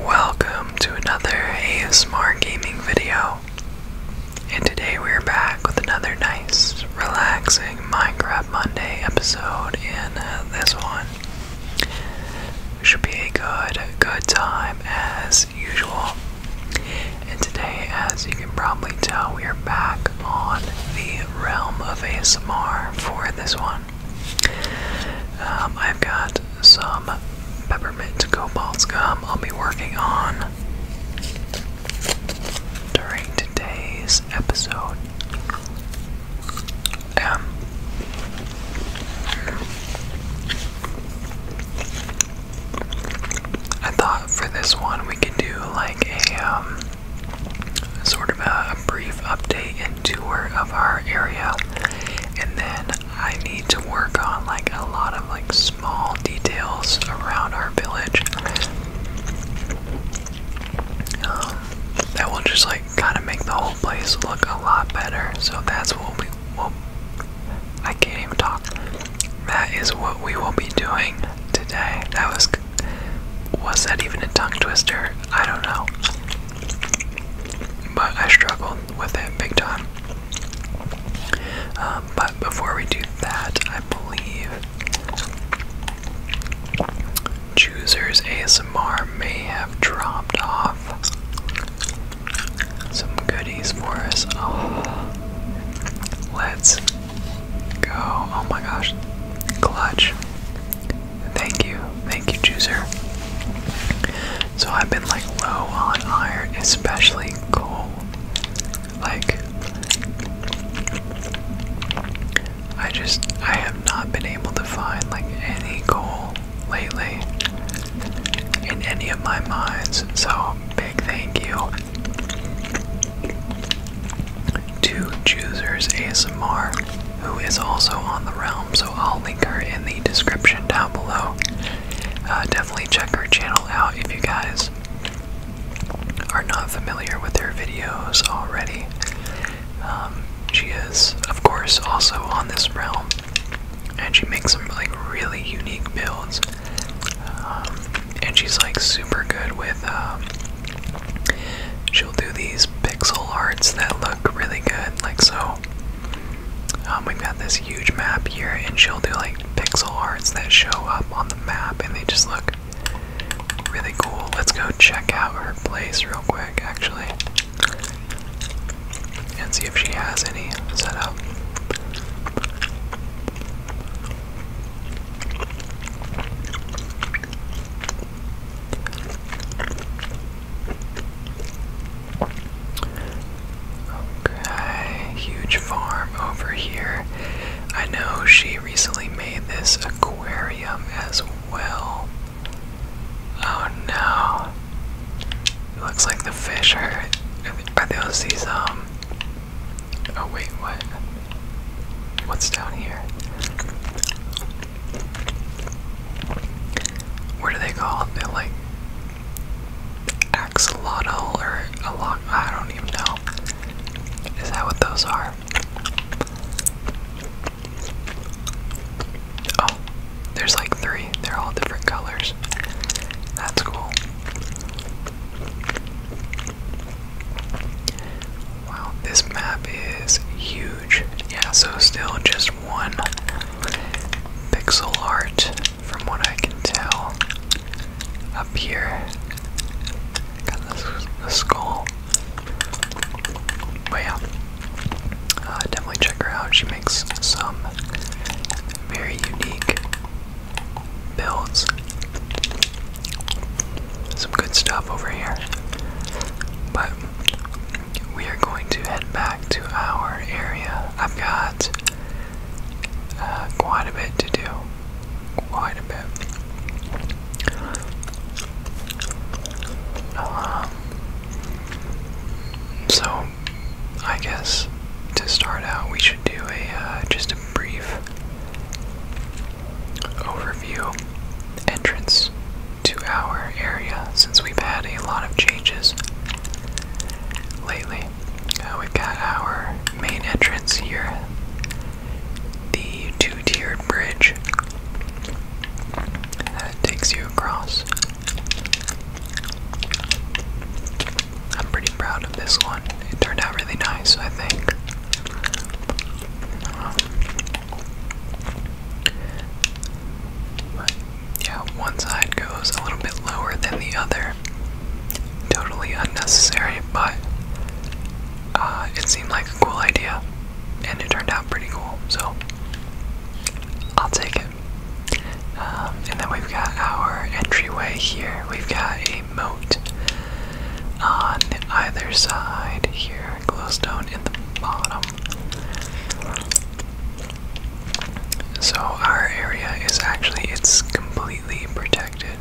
Welcome to another ASMR gaming video. And today we're back with another nice, relaxing Minecraft Monday episode in uh, this one. Should be a good, good time as usual. And today, as you can probably tell, we are back on the realm of ASMR for this one. Um, I've got some peppermint cobalt gum I'll be working on during today's episode. Um, I thought for this one we could do like a um, sort of a brief update and tour of our area and then I need to work on like a lot of like small details around our village um, that will just like kind of make the whole place look a lot better. So that's what we will. I can't even talk. That is what we will be doing today. That was. Was that even a tongue twister? I don't know but I struggled with it big time. Um, but before we do that, I believe Choosers ASMR may have dropped off some goodies for us. Oh, let's go. Oh my gosh. Clutch. Thank you, thank you, Juicer. So I've been like low on iron, especially coal. Like, I just, I have not been able to find like any coal lately in any of my mines. So, big thank you to Choosers ASMR who is also on the realm, so I'll link her in the description down below. Uh, definitely check her channel out if you guys are not familiar with her videos already. Um, she is, of course, also on this realm, and she makes some like really unique builds. Um, and she's like super good with. Um, she'll do these pixel arts that look really good, like so um, we've got this huge map here, and she'll do like pixel arts that show up on the map, and they just look really cool. Let's go check out her place real quick, actually, and see if she has any set up. Okay, huge farm over here. I know she recently made this aquarium as well. Oh no. It looks like the fish are. Are those these, um. Oh wait, what? What's down here? What do they call them? They're like axolotl or a lot. I don't even know. Is that what those are? Oh, there's like three. They're all different colors. That's cool. Wow, this map is huge. Yeah, so still just one pixel art, from what I can tell. Up here, got this the skull. way up. Uh, definitely check her out. She makes some very unique builds. Some good stuff over here. But we are going to head back to our area. I've got uh, quite a bit to do. Quite a bit. Um, so, I guess to start out, we should do a uh, just a brief overview entrance to our area since we've had a lot of changes lately. Uh, we've got our main entrance here, the two tiered bridge that takes you across. I'm pretty proud of this one. It turned out really nice, I think. Um, yeah, one side goes a little bit lower than the other. Totally unnecessary, but uh, it seemed like a cool idea, and it turned out pretty cool, so I'll take it. Um, and then we've got our entryway here. We've got a moat on either side here, glowstone in the bottom. So our area is actually it's completely protected,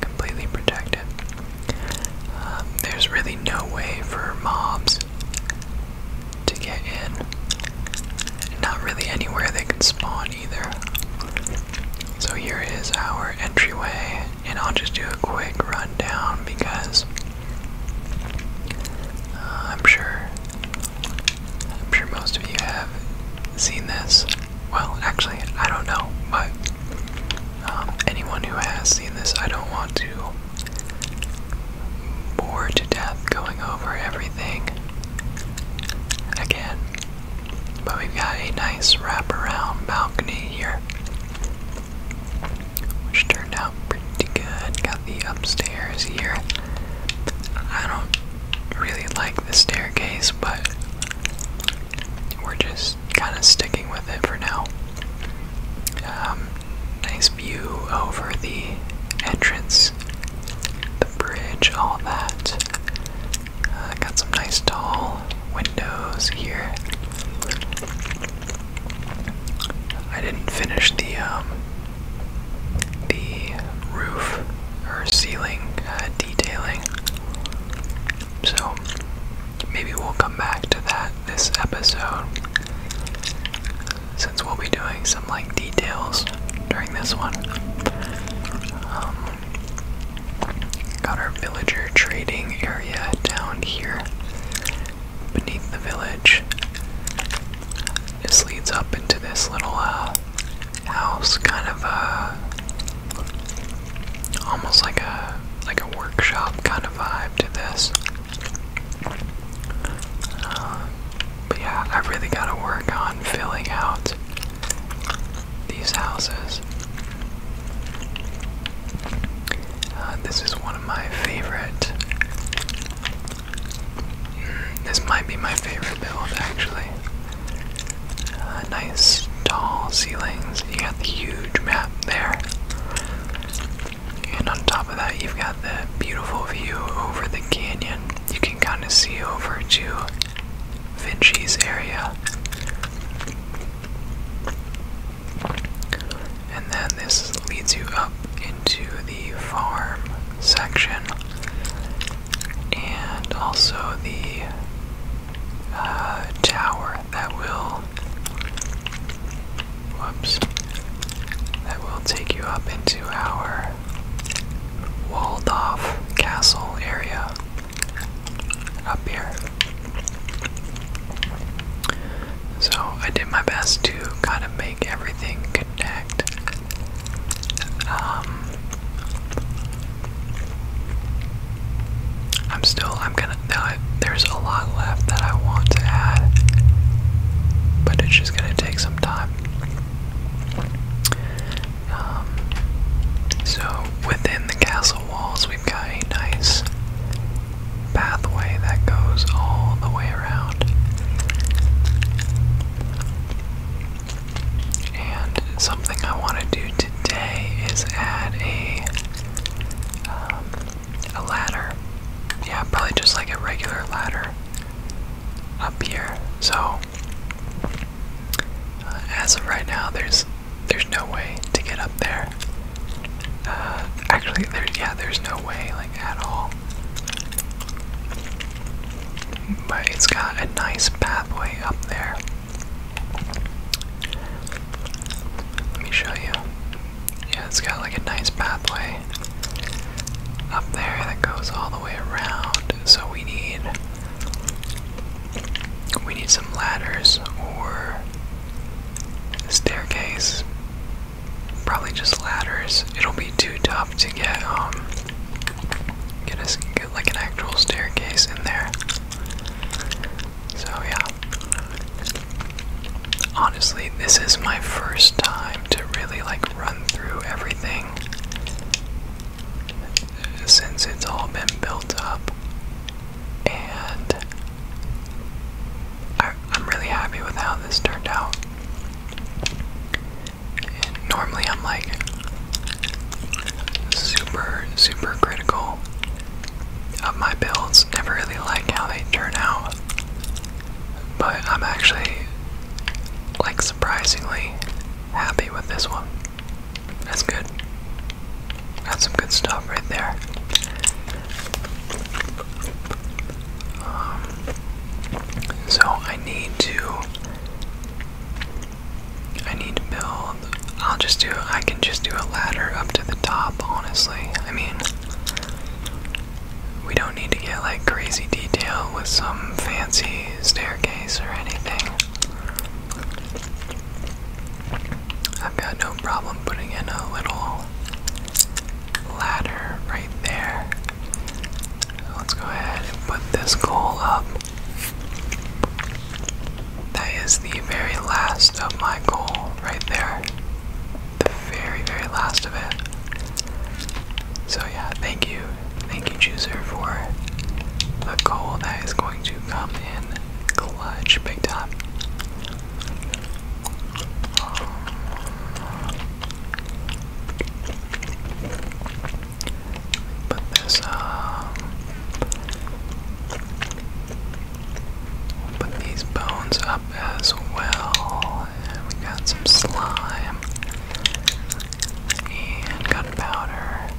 completely protected. Um, there's really no way for mobs to get in. Not really anywhere they can spawn either. So here is our entryway, and I'll just do a quick rundown because uh, I'm sure. I'm sure most of you have seen this. Well, actually, I don't know, but um, anyone who has seen this, I don't want to bore to death going over everything again. But we've got a nice wraparound balcony here, which turned out pretty good. Got the upstairs here. I don't really like the staircase, but we're just kind of sticking with it for now. Um, nice view over the entrance, the bridge, all that. Uh, got some nice tall windows here. I didn't finish the um, the roof or ceiling uh, detailing. So maybe we'll come back to that this episode since we'll be doing some like details during this one. Um, got our villager trading area down here beneath the village. This leads up into this little uh, house, kind of a uh, almost like a like a workshop kind of vibe to this. Uh, but yeah, I really gotta work on filling out these houses. this is one of my favorite this might be my favorite build, actually. Uh, nice tall ceilings. You got the huge map there. And on top of that, you've got the beautiful view over the canyon. You can kind of see over to Vinci's area. And then this leads you up into the farm section, and also the uh, tower that will. Whoops. That will take you up into our walled off castle area up here. So I did my best to kind of make everything connect um, I'm still. I'm gonna. there's a lot left that I want to add, but it's just gonna take some time. Um, so within the castle walls, we've got a nice pathway that goes all the way around. And something I want to do today is add a um, a ladder. Yeah, probably just like a regular ladder up here. So uh, as of right now, there's there's no way to get up there. Uh, actually, there's yeah, there's no way like at all. But it's got a nice pathway up there. Let me show you. Yeah, it's got like a nice pathway up there that goes all the way around. So we need we need some ladders or staircase probably just ladders. It'll be too tough to get um get us get like an actual staircase in there. So yeah. Honestly, this is my first time to really like run through everything since it's all been built up. And I'm really happy with how this turned out normally I'm like super, super critical of my builds. Never really like how they turn out. But I'm actually like surprisingly happy with this one. That's good. Got some good stuff right there. Um, so I need to. I need to build. I'll just do. I can just do a ladder up to the top, honestly. I mean, we don't need to get like crazy detail with some fancy staircase or anything. I've got no problem putting in a little ladder right there. Let's go ahead and put this goal up. That is the very last of my goal right there. The very, very last of it. So, yeah, thank you. Thank you, Chooser, for the goal that is going to come in clutch big time. Put this, um, uh, we'll put these bones up as well. And we got some slime and gunpowder.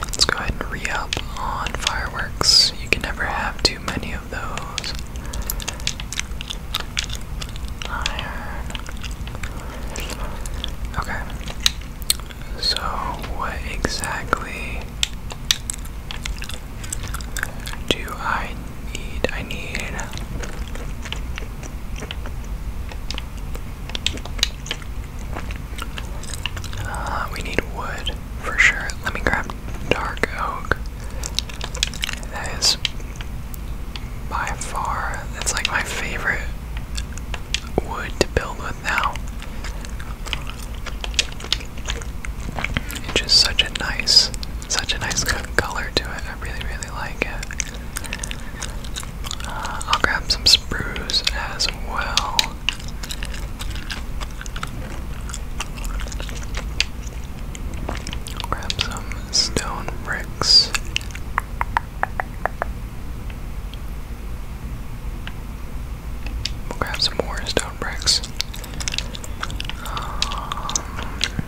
Let's go ahead and re up on fireworks. You can never have too many Okay. So, what exactly do I need? I need. Uh, we need wood for sure. Let me grab dark oak. That is by far, that's like my favorite wood to build with now. It's just such a nice, such a nice color to it. I really, really like it. Uh, I'll grab some spruce as well. Grab some stone bricks. We'll grab some more stone bricks. Um,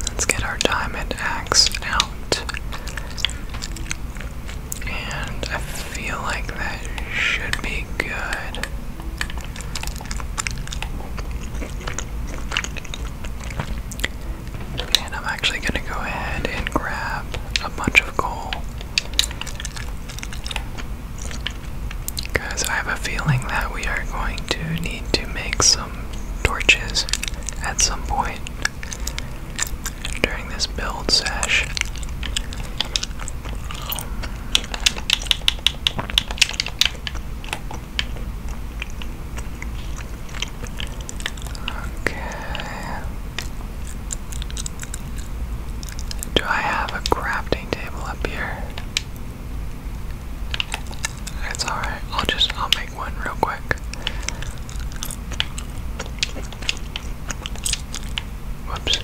let's get our diamond axe out. And I feel like that should be good. And I'm actually going to go ahead and grab a bunch of coal. Because I have a feeling that we are going to need to make some torches at some point during this build sesh. Okay. Do I have a crafting table up here? It's alright, I'll just I'll make one real quick. Whoops.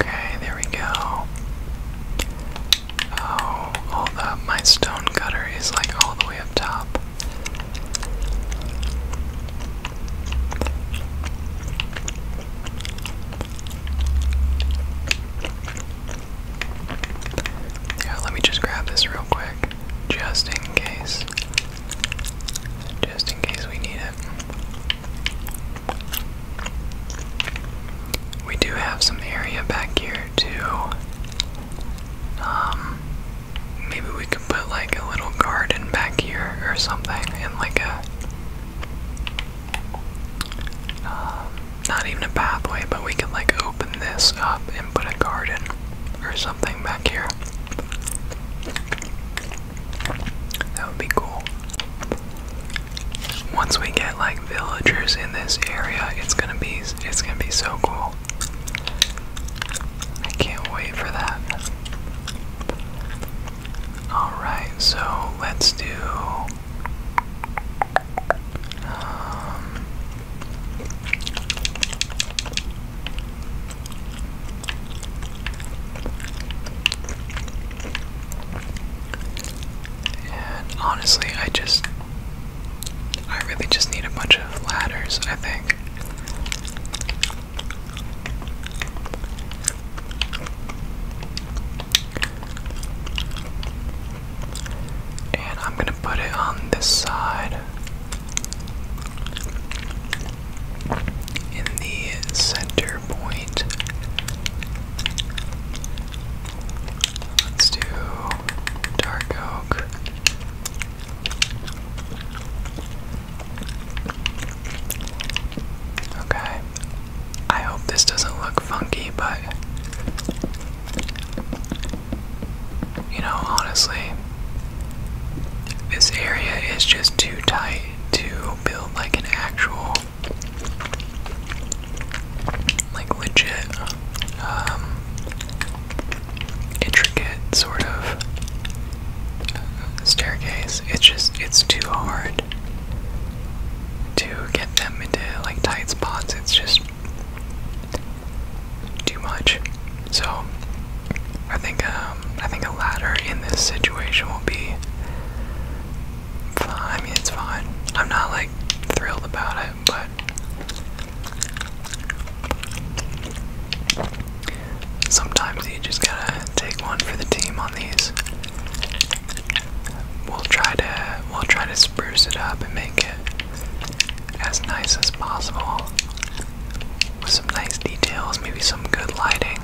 Okay, there we go. Oh, hold up, my stone cutter is like all the way up top. Yeah, let me just grab this real quick, just in case just in case we need it. We do have some area back here too. Um, maybe we could put like a little garden back here or something, and like a um, not even a pathway, but we could like open this up and put a garden or something back here. That would be cool. Once we get like villagers in this area, it's gonna be it's gonna be so cool. I can't wait for that. Alright, so let's do um, and honestly, I just. I really just need a bunch of ladders, I think. And I'm gonna put it on this side in the center point. Let's do dark oak. Okay. I hope this doesn't look funky, but you know, honestly, this area is just too tight to build like an actual, like legit, um, intricate sort of uh, staircase. It's just, it's too hard to get them into like tight spots. It's just too much. So, I think, um, um, I think a ladder in this situation will be fine. I mean, it's fine. I'm not like thrilled about it, but sometimes you just gotta take one for the team on these. We'll try to we'll try to spruce it up and make it as nice as possible with some nice details, maybe some good lighting.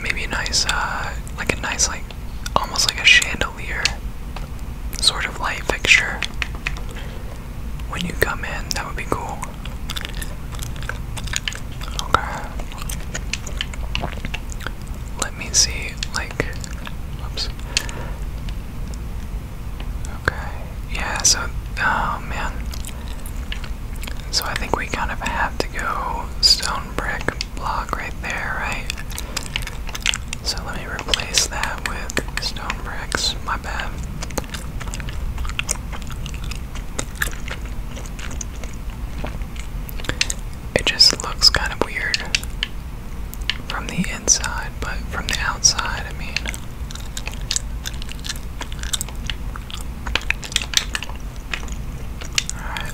Maybe a nice, uh, like a nice, like, almost like a chandelier sort of light fixture when you come in. That would be cool. Okay. Let me see, like, oops. Okay. Yeah, so oh man. So I think we kind of have to go stone brick block right there, right? So let me replace that with stone bricks. My bad. It just looks kind of weird from the inside, but from the outside, I mean. Alright.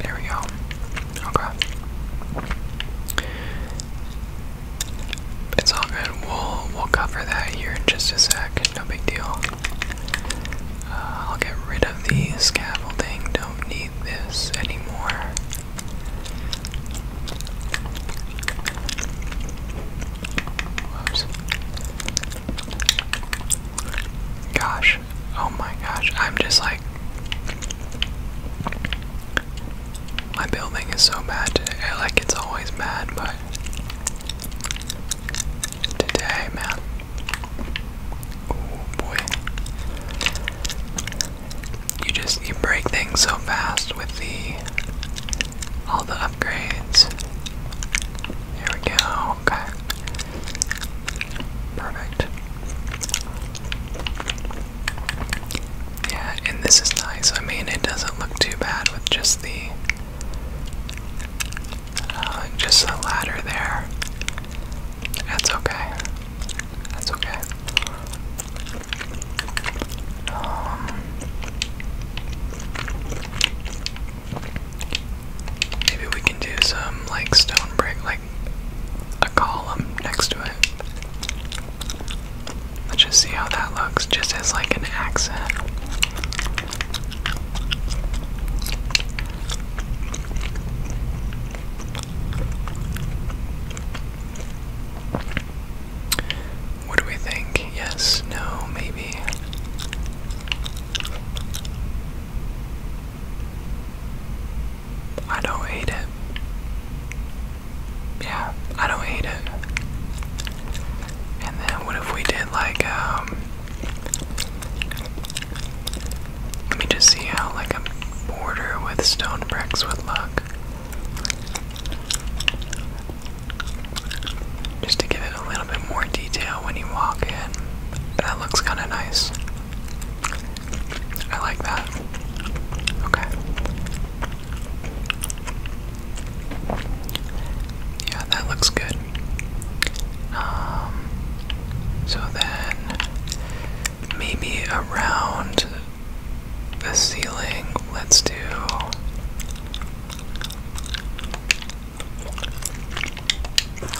There we go. Okay. It's all good. We'll we'll cover that here in just a sec. No big deal. Uh, I'll get rid of the scaffolding. Don't need this anymore. Gosh, oh my gosh, I'm just like. My building is so bad today. Like, it's always bad, but. Today, man. Oh boy you just you break things so fast with the all the upgrades. Here we go. Okay. Perfect. Yeah, and this is nice. I mean, it doesn't look too bad with just the uh, just the ladder there. That's okay. That's okay. Um, maybe we can do some like stone brick, like a column next to it. Let's just see how that looks, just as like an accent. What do we think? Yes, no, maybe. I don't hate it. Yeah, I don't hate it. And then what if we did like um Let me just see how like a border with stone bricks would look. Just to give it a little bit more detail when you walk in. That looks kind of nice. I like that. Okay. Yeah, that looks good. Um, so then, maybe around the ceiling. Let's do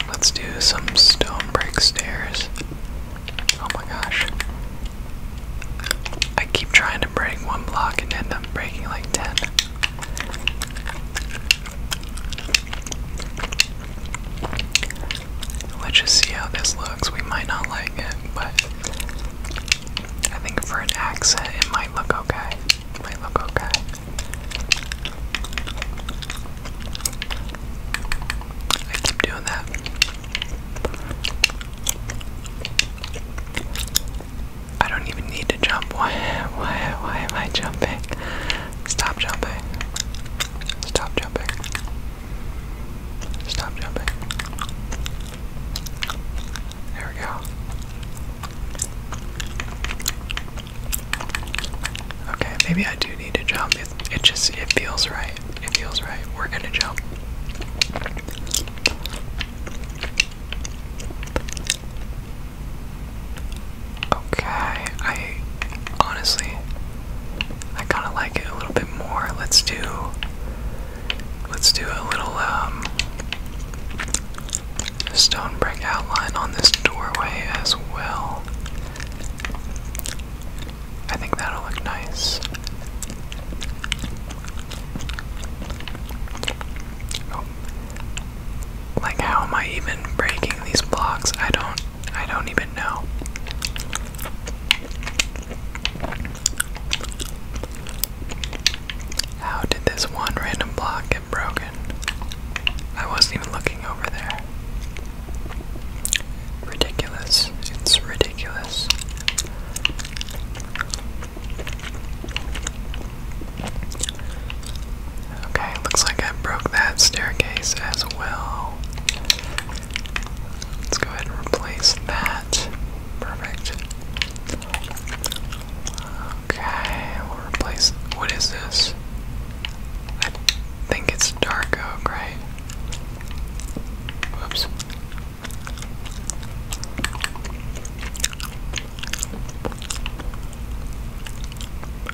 Let's do some stone brick stairs. Oh my gosh. I keep trying to break one block and end up breaking like 10. Let's just see how this looks. We might not like it, but I think for an accent, it might look okay. It might look okay. I keep doing that. I don't even need to jump. Why? Why? Why am I jumping? Stop jumping. Stop jumping. Stop jumping. There we go. Okay, maybe I do need to jump. It, just it feels right. It feels right. We're gonna jump. Okay, I honestly I kind of like it a little bit more. Let's do Let's do a little um, stone brick outline on this doorway as well. I think that'll look nice. Oh. Like how am I even breaking these blocks? I don't I don't even know. How did this one random block get broken? I wasn't even looking over there. Ridiculous. It's ridiculous. Okay, looks like I broke that staircase as well. Let's go ahead and replace that. Perfect. Okay, we'll replace. What is this? I think it's dark oak, right? Whoops.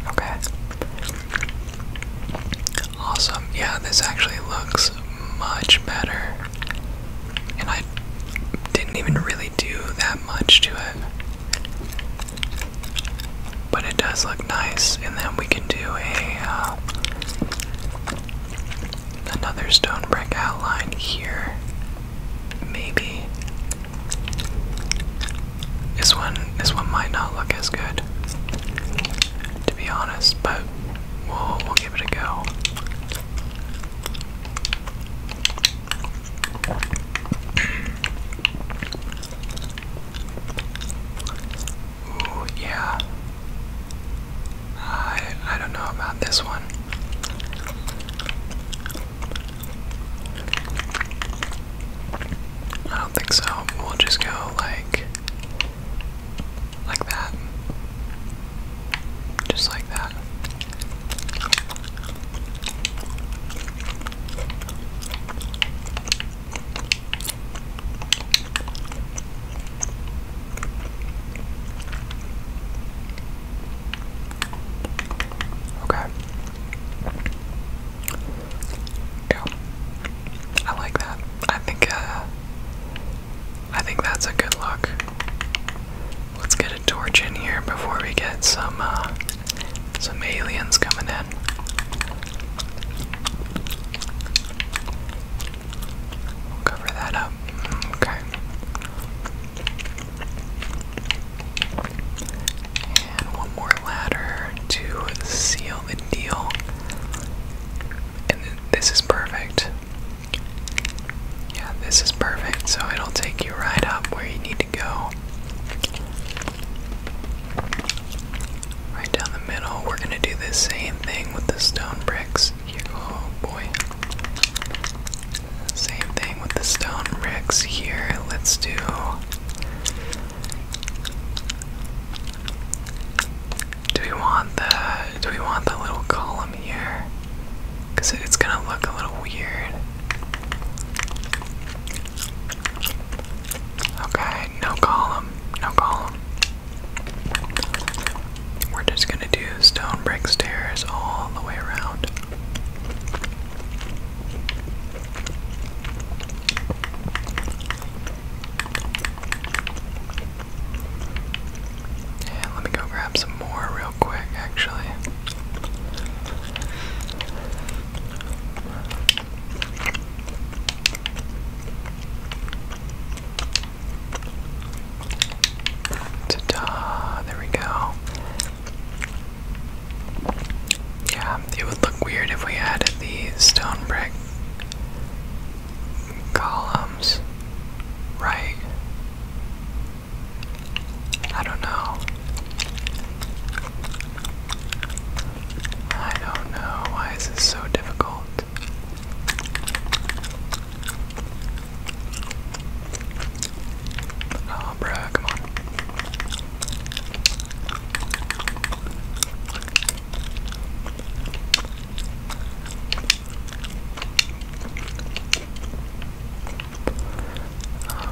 Okay. Awesome. Yeah, this actually looks much better. And I didn't even really do that much to it. But it does look nice, and then we can do a uh, another stone brick outline here. Maybe this one this one might not look as good, to be honest. But we give it a go. Ooh, yeah. I I don't know about this one. I don't think so. We'll just go like like that. Just like that. Okay. Yeah. I like that. I think uh, I think that's a good look. Let's get a torch in here before we get some uh, some aliens coming in. cover that up. Okay. And one more ladder to seal the deal. And this is perfect. Yeah, this is perfect. So it'll take you right up where you need to go. Right down the middle. We're going to do the same thing with the stone bricks. Here. Oh boy. Same thing with the stone bricks here. Let's do. Do we want the do we want the little column here? because it's gonna look a little weird. Okay, no column, no column. We're just gonna do stone brick stairs all the way around. Yeah, let me go grab some more real quick, actually. Ta-da! There we go. Yeah, it would look weird if we added the stone brick columns, right? I don't know. I don't know. Why is this so difficult? Oh, bruh, come on.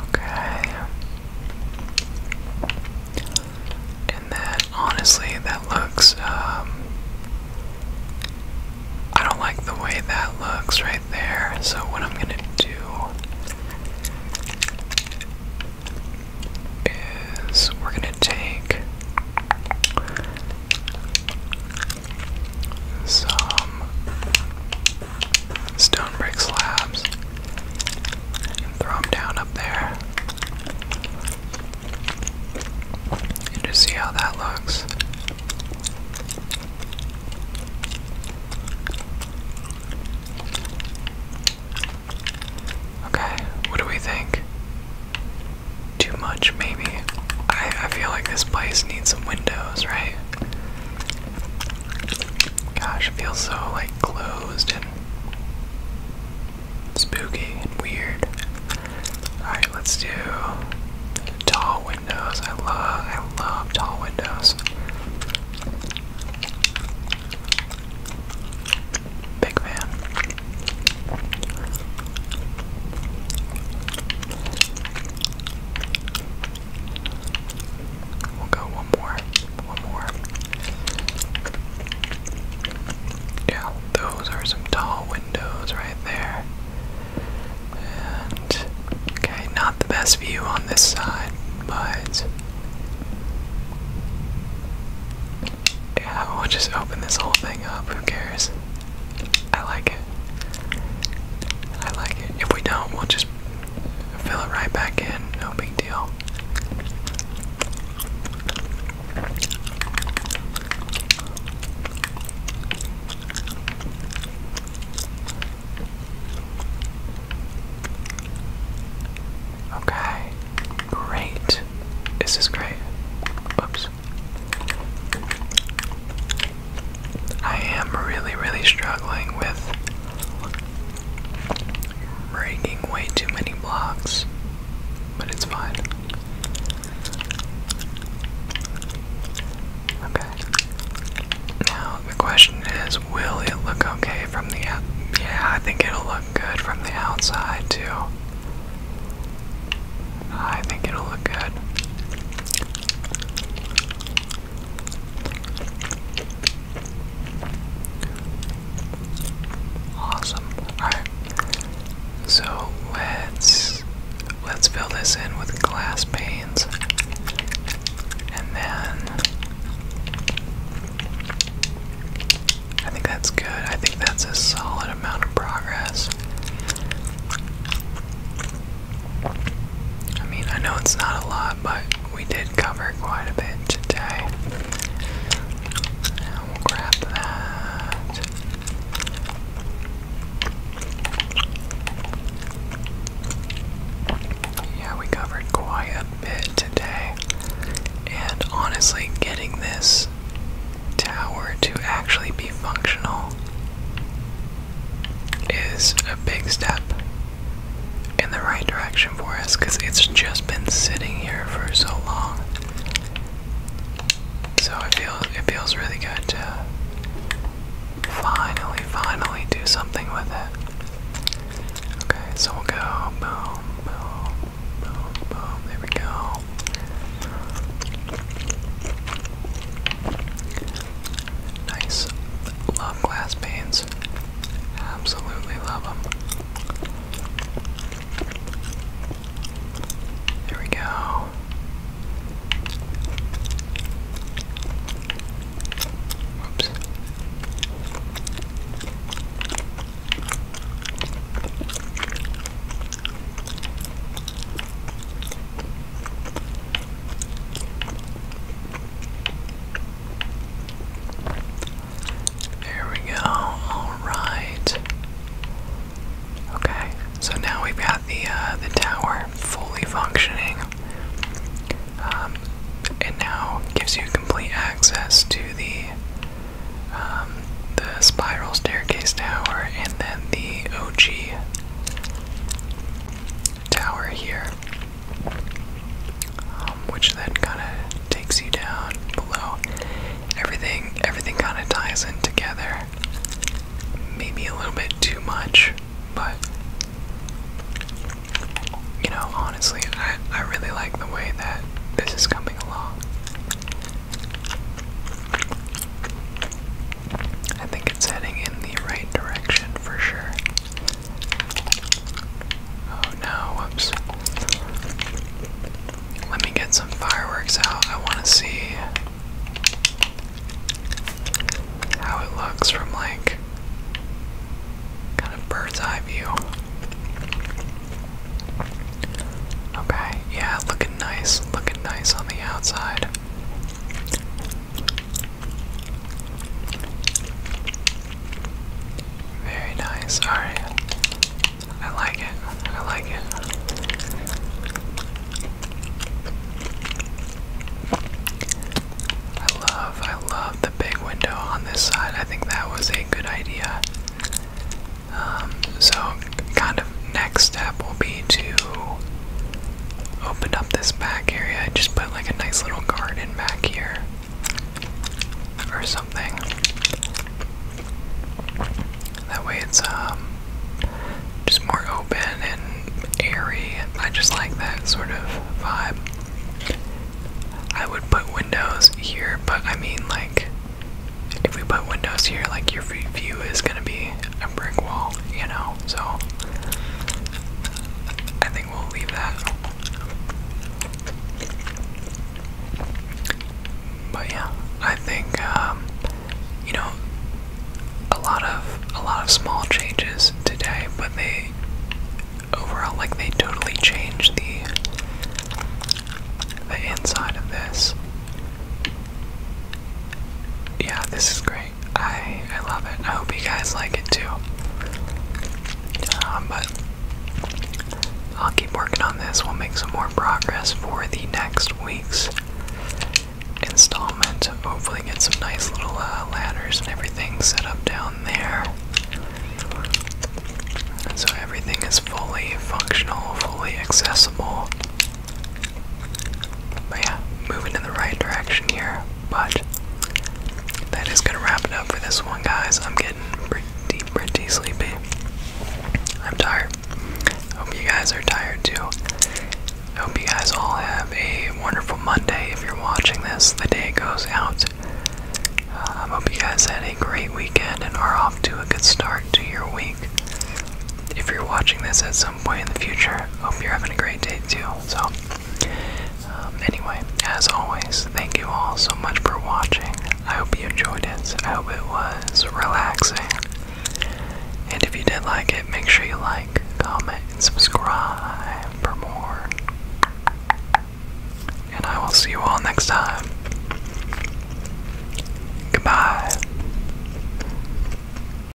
Okay. And then, honestly, that looks, um, I don't like the way that looks right there, so what I'm gonna do is we're gonna take some stone brick slabs and throw them down up there and just see how that looks. Okay, what do we think? too much, maybe. I, I feel like this place needs some windows, right? Gosh, it feels so like closed and spooky and weird. Alright, let's do tall windows. I love I love tall windows. Big fan. We'll go one more. One more. Yeah, those are some tall windows right there. And okay, not the best view on this side, but yeah, we'll just open this whole thing up. Who cares? I like it. I like it. If we don't, we'll just fill it right back in. No big deal. Okay, great. This is great. Whoops. I am really, really struggling with breaking way too many blocks, but it's fine. Okay. Now, the question is will it look okay from the out? Yeah, I think it'll look good from the outside, too. I think it'll look good. Awesome. Alright. So let's let's fill this in with glass panes. And then I think that's good. I think that's a solid amount of progress. I mean, I know it's not a lot, but we did cover quite a bit today. And we'll grab that. Yeah, we covered quite a bit today. And honestly, getting this tower to actually be functional is a big step in the right direction for us because it's just been sitting here for so long. So it feels it feels really good to finally, finally do something with it. Okay, so we'll go boom, boom, boom, boom. There we go. Nice. Love glass panes. Absolutely love them. There we go. Oops. There we go. Alright. Okay, so now we've got the uh, the tower fully functioning. and um, now gives you complete access to the um, the spiral staircase tower and then the OG tower here, um, which then kind of takes you down below. Everything, everything kind of ties in together. Maybe a little bit too much, but you know, honestly, I I really like the way that this is coming along. I think it's heading in the right direction for sure. Oh no, whoops. Let me get some fireworks out. I want to see how it looks from like kind of bird's eye view. Okay, yeah, looking nice, looking nice on the outside. Very nice. All right. I like it. I like it. I love I love the big window on this side. I think that was a good idea. Um, so kind of next step will be to opened up this back area I just put like a nice little garden back here or something. That way it's um just more open and airy. I just like that sort of vibe. I would put windows here, but I mean like if we put windows here, like your view is gonna be a brick wall, you know? So, I think we'll leave that. But yeah, I think, um, you know, a lot of, a lot of small changes today, but they, overall, like, they totally changed the, the inside of this. Yeah, this is great. I I love it. I hope you guys like it too. Um, but I'll keep working on this. We'll make some more progress for the next week's installment. Hopefully, get some nice little uh, ladders and everything set up down there. And so everything is fully functional, fully accessible. But yeah, moving in the right direction here. But that is gonna wrap it up for this one, guys. I'm getting pretty, pretty sleepy. I'm tired. Hope you guys are tired too. hope you guys all have a wonderful Monday if you're watching this the day goes out. Uh, I hope you guys had a great weekend and are off to a good start to your week. If you're watching this at some some point in the future. Hope you're having a great day too. So, um, anyway, as always, thank you all so much for watching. I hope you enjoyed it. I hope it was relaxing. And if you did like it, make sure you like, comment, and subscribe for more. And I will see you all next time. Goodbye.